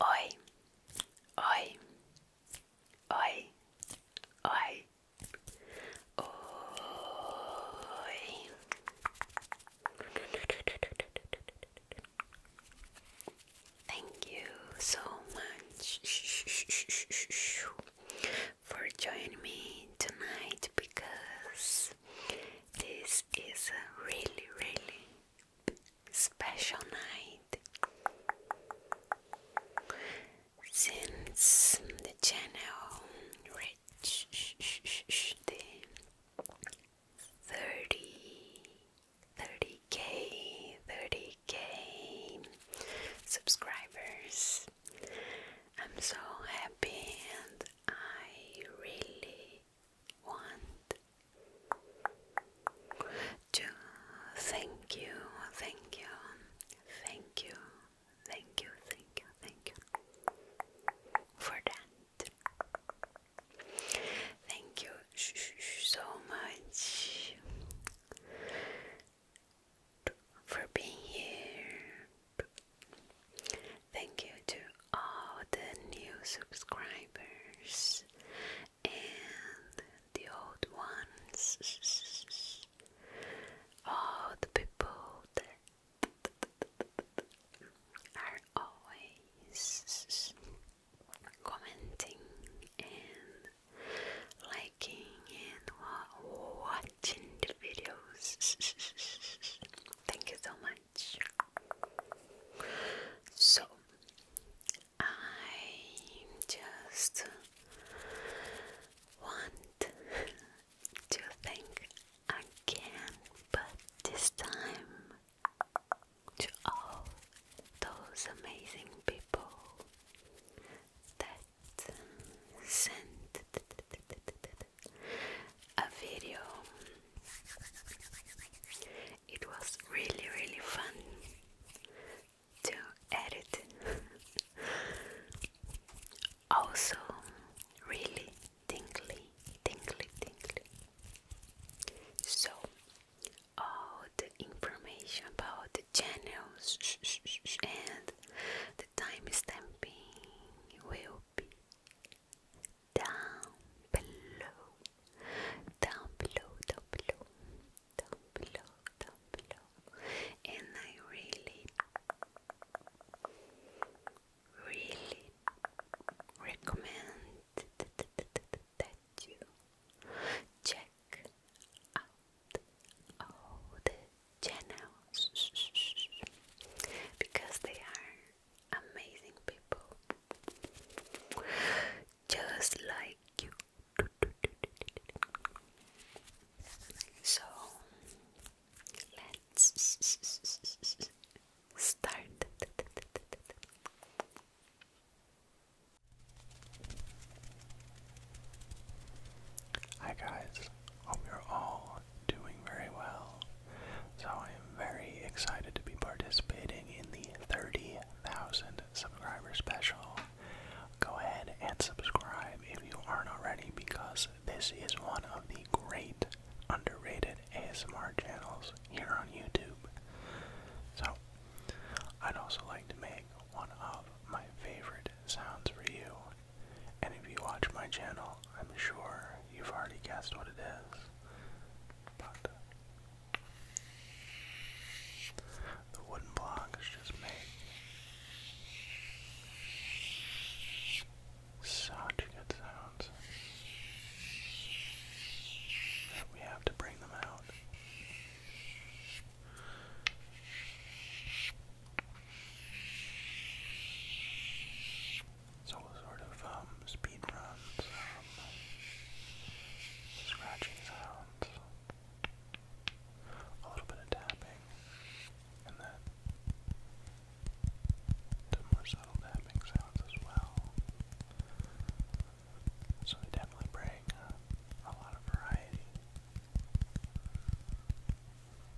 Oi, oi, oi, oi, oi. Thank you so much for joining me tonight because this. is a really, really special night. Since the channel reached the 30, k 30k subscribers, I'm so happy and I really want to thank you, thank you, thank you, thank you, thank you, thank you for that. Thank you so much for being here, Thank you to all the new subscribers and the old ones, all the people that are always commenting and liking and watching the videos. Thank you so much. So, I just want to thank again, but this time to all those amazing people that sent a video. It was really, really fun to edit. also, really tingly, tingly, tingly. So, all the information about the channels and the time will down below, down below, down below, down below, And I really, really recommend that you check out all the channels because they are amazing people just like you. So let's start. Hi guys, hope you're all doing very well. So I am very excited to be participating in the 30,000 subscriber special. Go ahead and subscribe if you aren't already because this is one of the great underrated ASMR channels here on YouTube. So, I'd also like to make one of my favorite sounds for you and if you watch my channel, I'm sure you've already guessed what it is. But the wooden blocks just make such good sounds that we have to bring them out. So we sort of um, speed runs, um, scratching sounds, a little bit of tapping, and then more subtle tapping sounds as well. So they definitely bring uh, a lot of variety.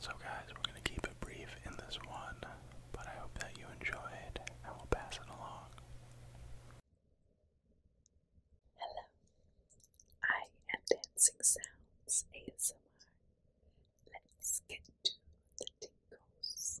So, guys, we're going to keep it brief in this one, but I hope that you enjoyed and we'll pass it along. Hello, I am Dancing Sounds ASMR. Let's get to the tingles.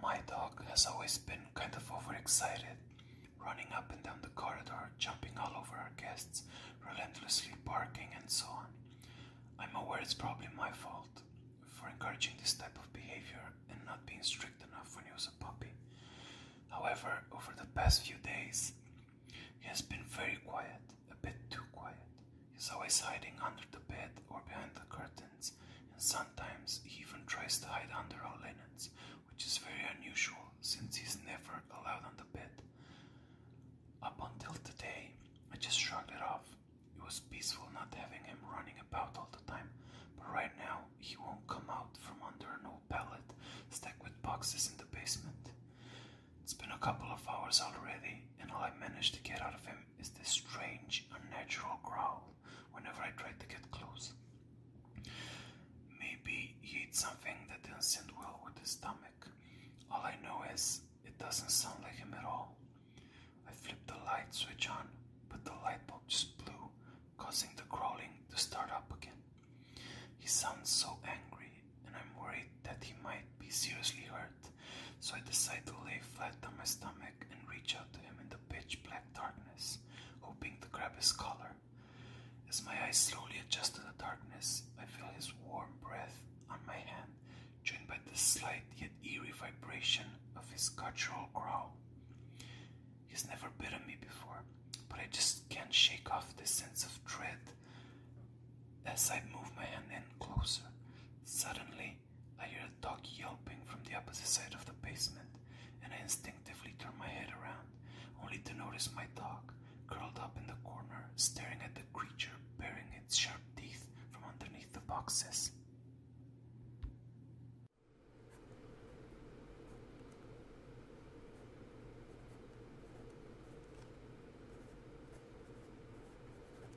My dog has always been kind of overexcited, running up and down the corridor, jumping all over our guests, relentlessly barking, and so on. I'm aware it's probably my fault for encouraging this type of behavior and not being strict enough when he was a puppy. However, over the past few days, he has been very quiet, a bit too quiet. He's always hiding under the bed or behind the curtain and sometimes he even tries to hide under our linens, which is very unusual since he's never allowed on the bed. Up until today, I just shrugged it off. It was peaceful not having him running about all the time, but right now he won't come out from under an old pallet stacked with boxes in the basement. It's been a couple of hours already, and all I managed to get out of him is this strange, unnatural growl whenever I try to get close. Maybe he ate something that does not sit well with his stomach. All I know is it doesn't sound like him at all. I flip the light switch on, but the light bulb just blew, causing the crawling to start up again. He sounds so angry, and I'm worried that he might be seriously hurt, so I decide to lay flat on my stomach and reach out to him in the pitch black darkness, hoping to grab his collar. As my eyes slowly adjust to the darkness, I feel his warm breath on my hand, joined by the slight yet eerie vibration of his guttural growl. He's never bitten me before, but I just can't shake off this sense of dread. As I move my hand in closer, suddenly I hear a dog yelping from the opposite side of the basement, and I instinctively turn my head around, only to notice my dog curled up in the corner, staring at the creature baring its sharp teeth from underneath the boxes.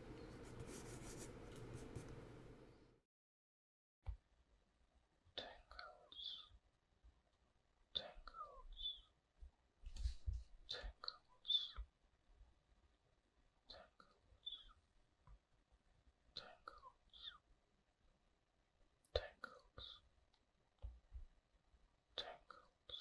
Tangles, tangles, tangles, tangles, tangles, tangles, tangles,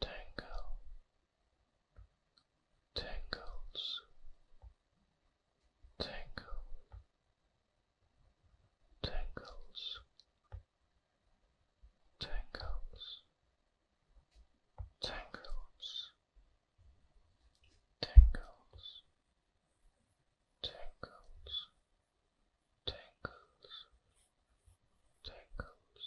tangle, tangles, tangles, tangles, tangles, tangles, tangles, tangles, tangles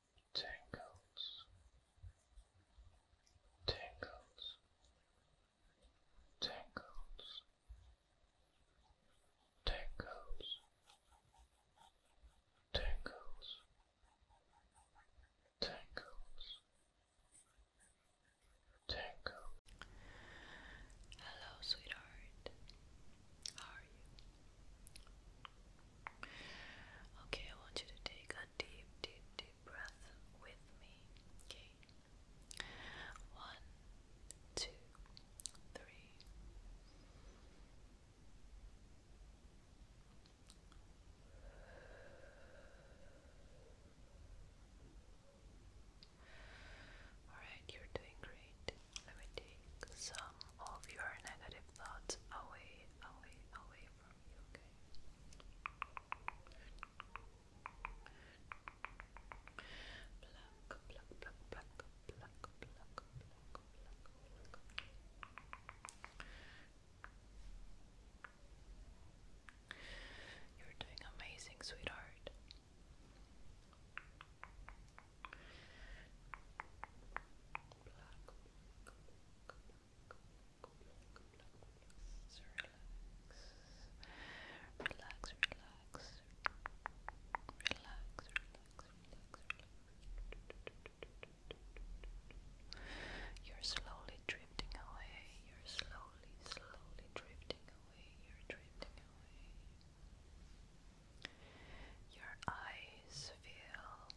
tingles, tingles, tingles, tingles, tingles, tingles, tingles. Hello, sweetheart. are you? Okay, I want you to take a deep, deep, deep breath with me. Okay. One, two, three. All right, you're doing great. Let me take some of your negative thoughts away, away, away from you, You're doing amazing, sweetheart relax. You're slowly drifting away. You're slowly, slowly drifting away. You're drifting away. Your eyes feel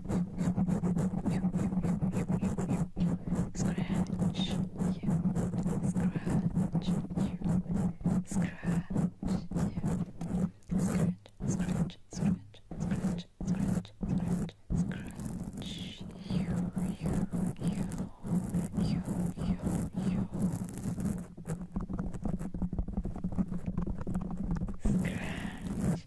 Scratch you, scratch you, scratch you, scratch, scratch, scratch, scratch, scratch, scratch, scratch you, you, you, you, you, you, scratch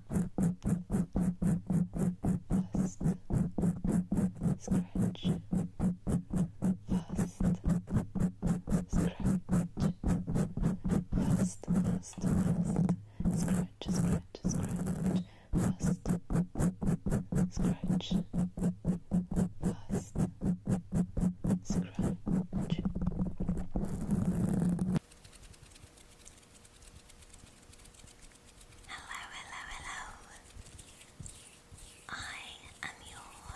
Fast. Scratch. Fast. Scratch. Fast, fast, fast. Scratch, scratch, scratch. Fast. Scratch. Fast. Scratch. Hello, hello, hello. I am your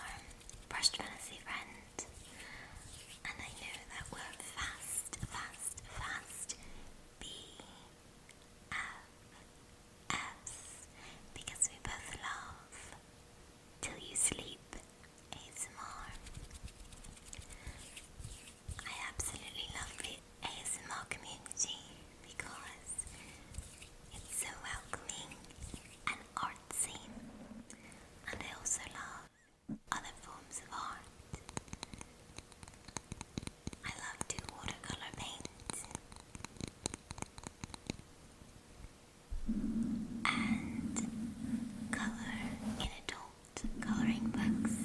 Brushed Fantasy friend, and I know that we're fast, fast, fast BFFs because we both love Till You Sleep ASMR. I absolutely love the ASMR community because it's so welcoming and artsy. And I also love other forms of art. I love to watercolor paint. And color in adult coloring books.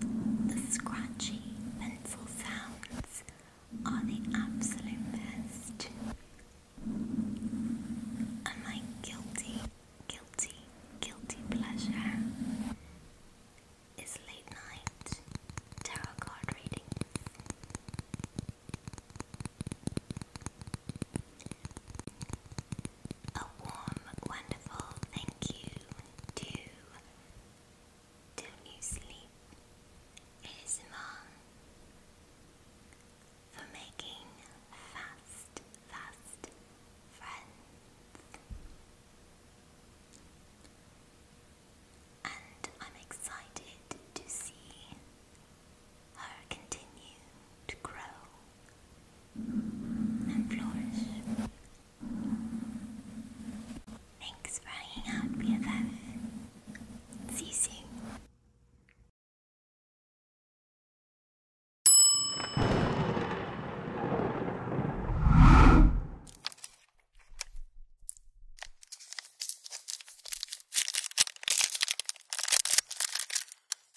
The scratchy pencil sounds are the absolute best. And my guilty, guilty, guilty pleasure is late night tarot card readings a warm, wonderful thank you to do You Sleep ASMR for making fast, fast friends. And I'm excited to see her continue to grow and flourish Thanks for hanging out, BFF. See you soon.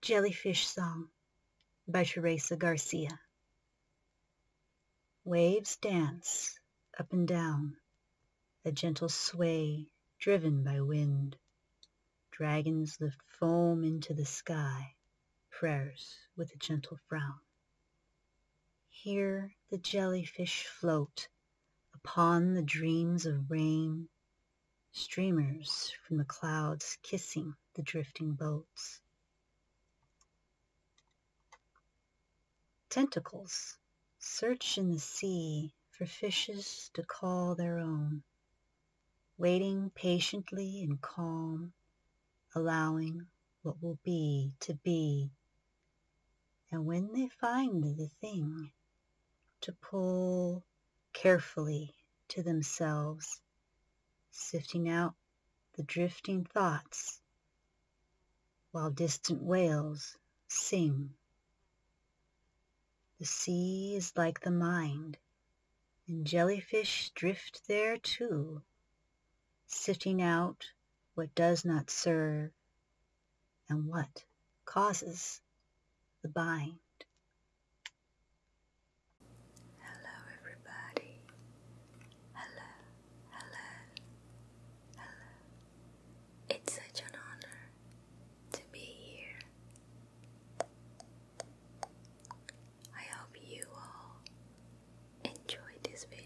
Jellyfish Song by Teresa Garcia. Waves dance up and down, a gentle sway driven by wind. Dragons lift foam into the sky, prayers with a gentle frown. Here the jellyfish float upon the dreams of rain, streamers from the clouds kissing the drifting boats. Tentacles search in the sea for fishes to call their own, waiting patiently and calm, allowing what will be to be and when they find the thing, to pull carefully to themselves, sifting out the drifting thoughts while distant whales sing. The sea is like the mind, and jellyfish drift there too, sifting out what does not serve and what causes the bind. Hello, everybody. Hello, hello, hello. It's such an honor to be here. I hope you all enjoy this video.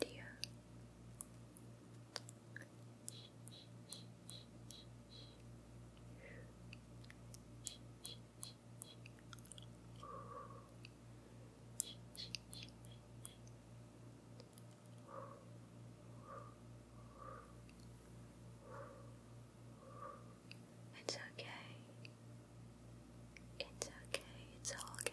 It's okay. It's okay. It's okay.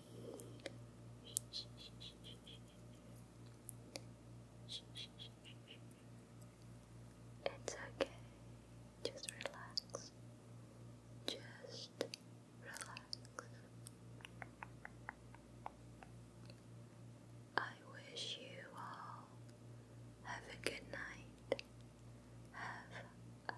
It's okay. Just relax. Just relax. I wish you all have a good night. Have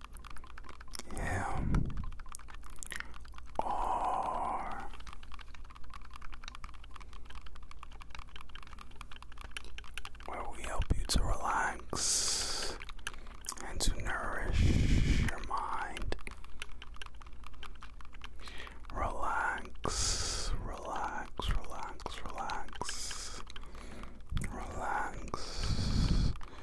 M R where we help you to relax and to nourish your mind. Relax, relax, relax, relax, relax, Relax,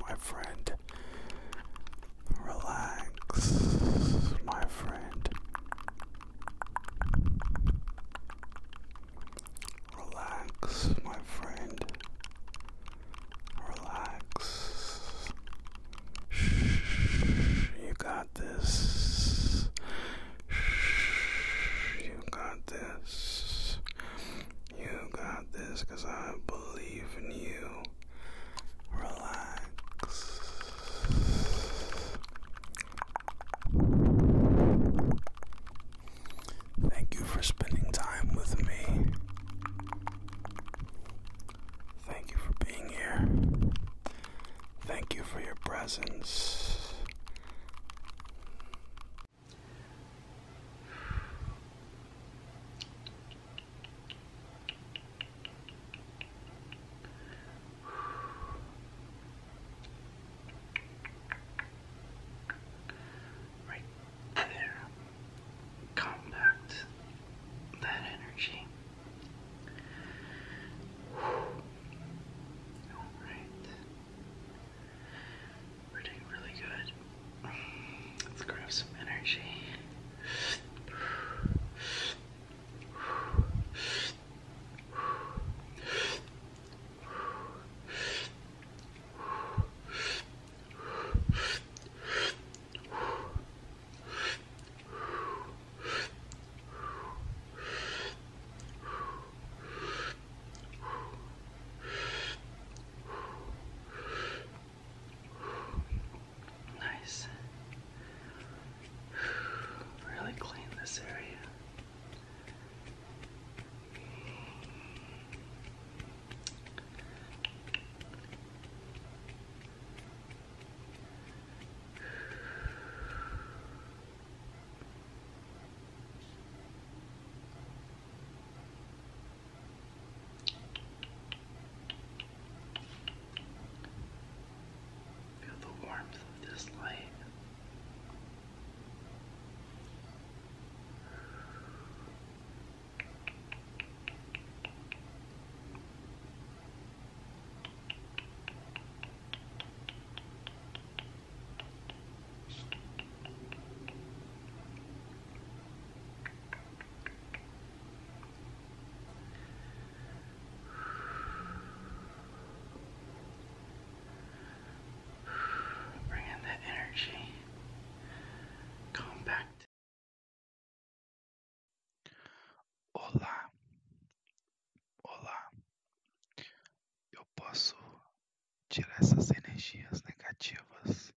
my friend. Relax, my friend. Relax, my friend. Relax. Shh, you got this. Shh, you got this. You got this I believe in you relax. Thank you for spending time with me. Thank you for being here. Thank you for your presence. Right there. Compact that energy. Alright. We're doing really good. Let's grab some energy. Nice. Really clean this area. Feel the warmth of this light. Feel Bring in that Compact. Olá. Olá. Eu posso tirar essas energias negativas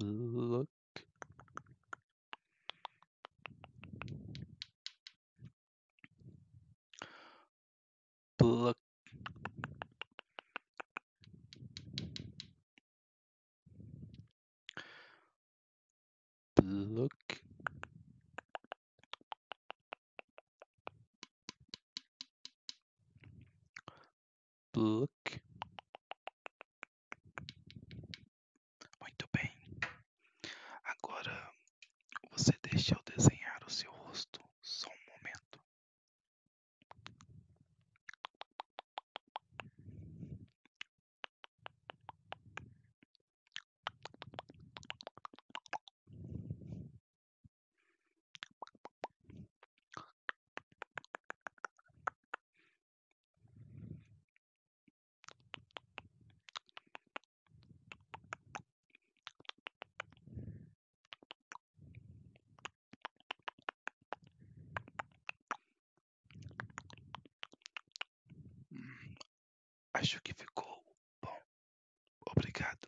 Look. Look. Look. Book. Muito bem. Agora você deixa eu desenhar o seu rosto só um momento. Hum, acho que ficou bom, obrigado.